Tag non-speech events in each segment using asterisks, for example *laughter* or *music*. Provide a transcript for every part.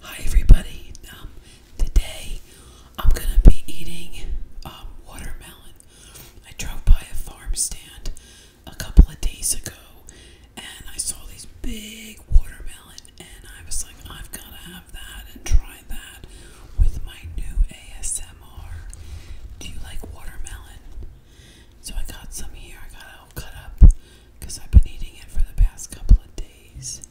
Hi everybody. Um, today I'm gonna be eating um, watermelon. I drove by a farm stand a couple of days ago, and I saw these big watermelon, and I was like, I've gotta have that and try that with my new ASMR. Do you like watermelon? So I got some here. I got it cut up because I've been eating it for the past couple of days.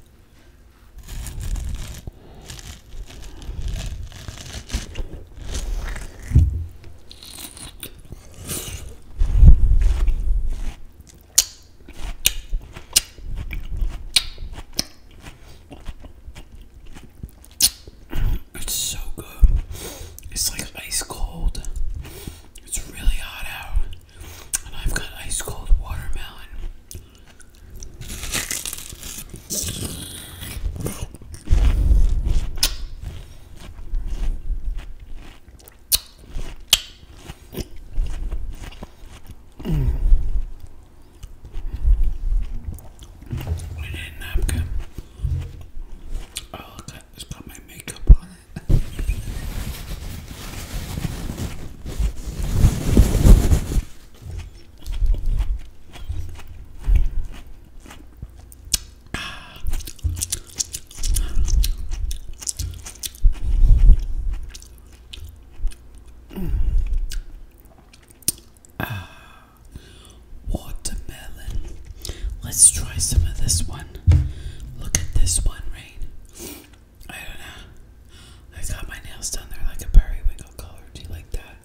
It's so good. It's like ice cold. It's really hot out, and I've got ice cold watermelon. Mm. I a napkin. Oh, that. It's got my makeup on it. ah. mm. Ah. Watermelon. Let's try some of this one. Look at this one, Rain. I don't know. I got my nails done. They're like a periwinkle color. Do you like that?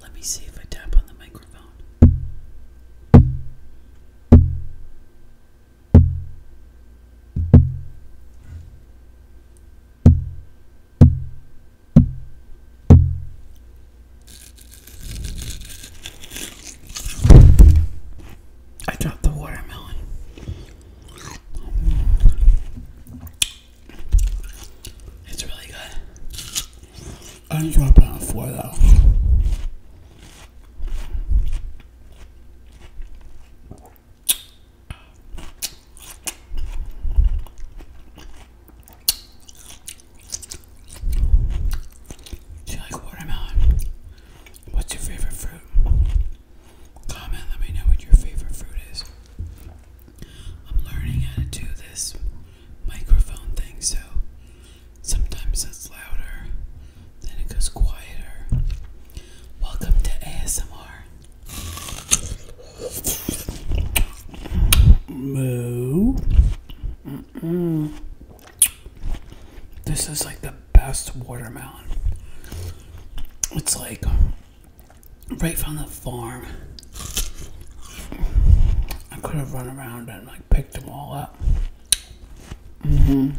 Let me see if I tap on the microphone. I dropped the watermelon. It's really good. I didn't drop it on four though. Do you like watermelon? What's your favorite fruit? Comment, let me know what your favorite fruit is. I'm learning how to do this microphone thing, so sometimes it's louder, then it goes quieter. Welcome to ASMR. Moo. This is like the best watermelon. It's like right from the farm. I could have run around and like picked them all up. hmm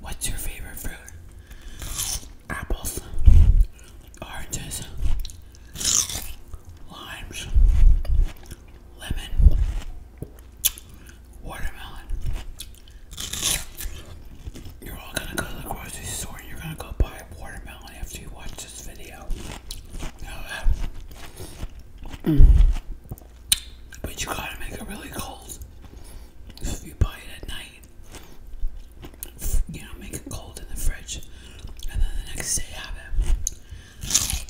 What's your favorite fruit? Apples, oranges, limes, lemon, watermelon. You're all gonna go to the grocery store you're gonna go buy watermelon after you watch this video. Uh, but you gotta make it really cold. if you buy it at night, you know, make it cold in the fridge, and then the next day have it.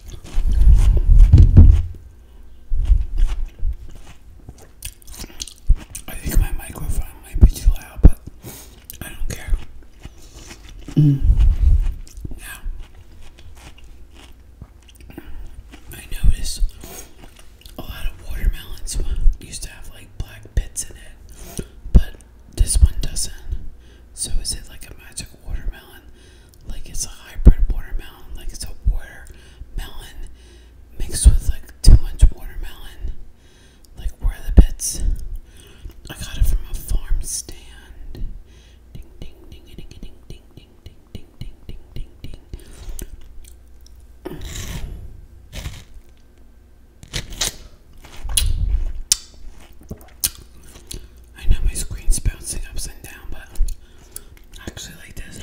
I think my microphone might be too loud, but I don't care. Now, mm. I notice a lot of watermelons used to have like black bits in it, but this one doesn't. So is it like a magic watermelon? Like it's a hybrid watermelon? Like it's a watermelon mixed with like too much watermelon? like where the bits? I got it from a farm stand. Ding ding ding ding ding ding ding ding ding ding ding I know my screen's bouncing upside down, but I actually like this.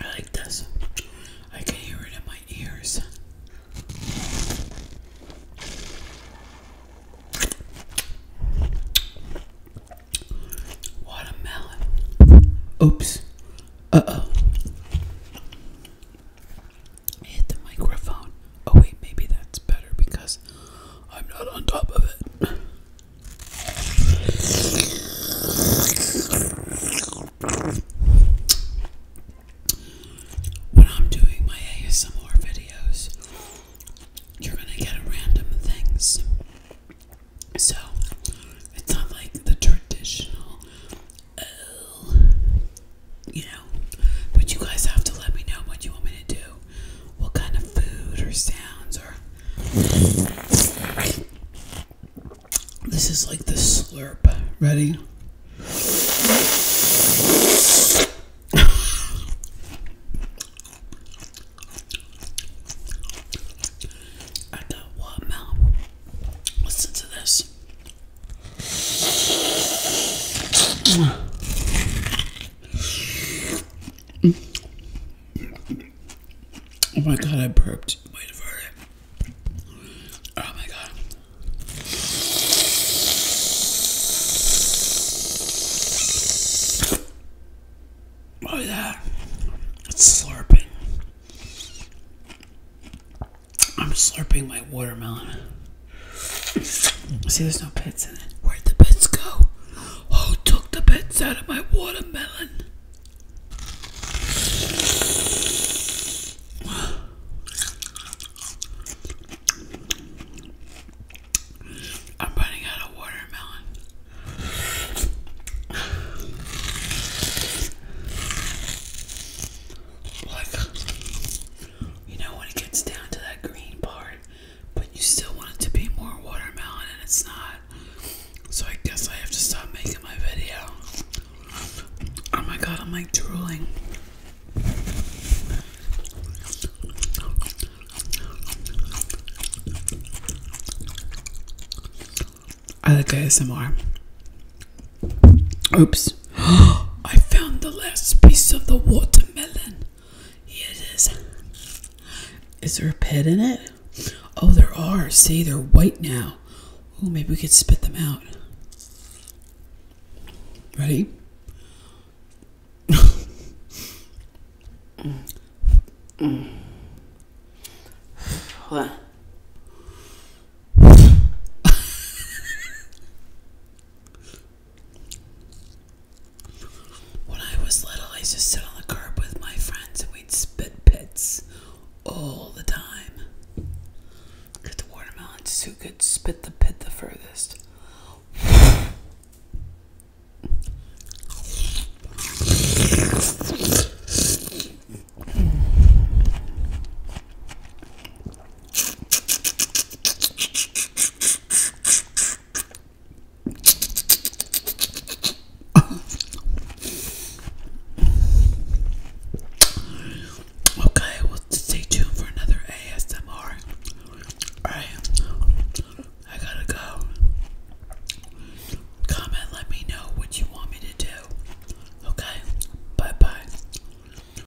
I like this. I can hear it in my ears. Watermelon. Oops. Uh oh. hit the microphone. Oh, wait, maybe that's better because I'm not on top of it. When I'm doing my ASMR videos, you're gonna get random things. So, it's not like the traditional, you know, but you guys have to let me know what you want me to do what kind of food or sounds or this is like the slurp. Ready? I got what mouth. Listen to this. Oh my god, I burped. Wait for it. Oh my god. Oh yeah. It's slurping. I'm slurping my watermelon. See, there's no pits in it. Where'd the pits go? Who took the bits out of my watermelon? I'm running out of watermelon. Like, you know, when it gets down to that green part but you still want it to be more watermelon and it's not. So I guess I have to stop making my video. Oh my god, I'm like drooling. I like ASMR. Oops. *gasps* I found the last piece of the watermelon. Yeah, Is there a pet in it? Oh, there are. See, they're white now. Oh, maybe we could spit them out. Ready? Hold *laughs* on. When I was little, I used to sit on the curb with my friends and we'd spit pits all the time. the watermelons. Who could spit the pit the furthest? Okay, well, stay tuned for another ASMR. All right, I gotta go. Comment, let me know what you want me to do. Okay, bye bye.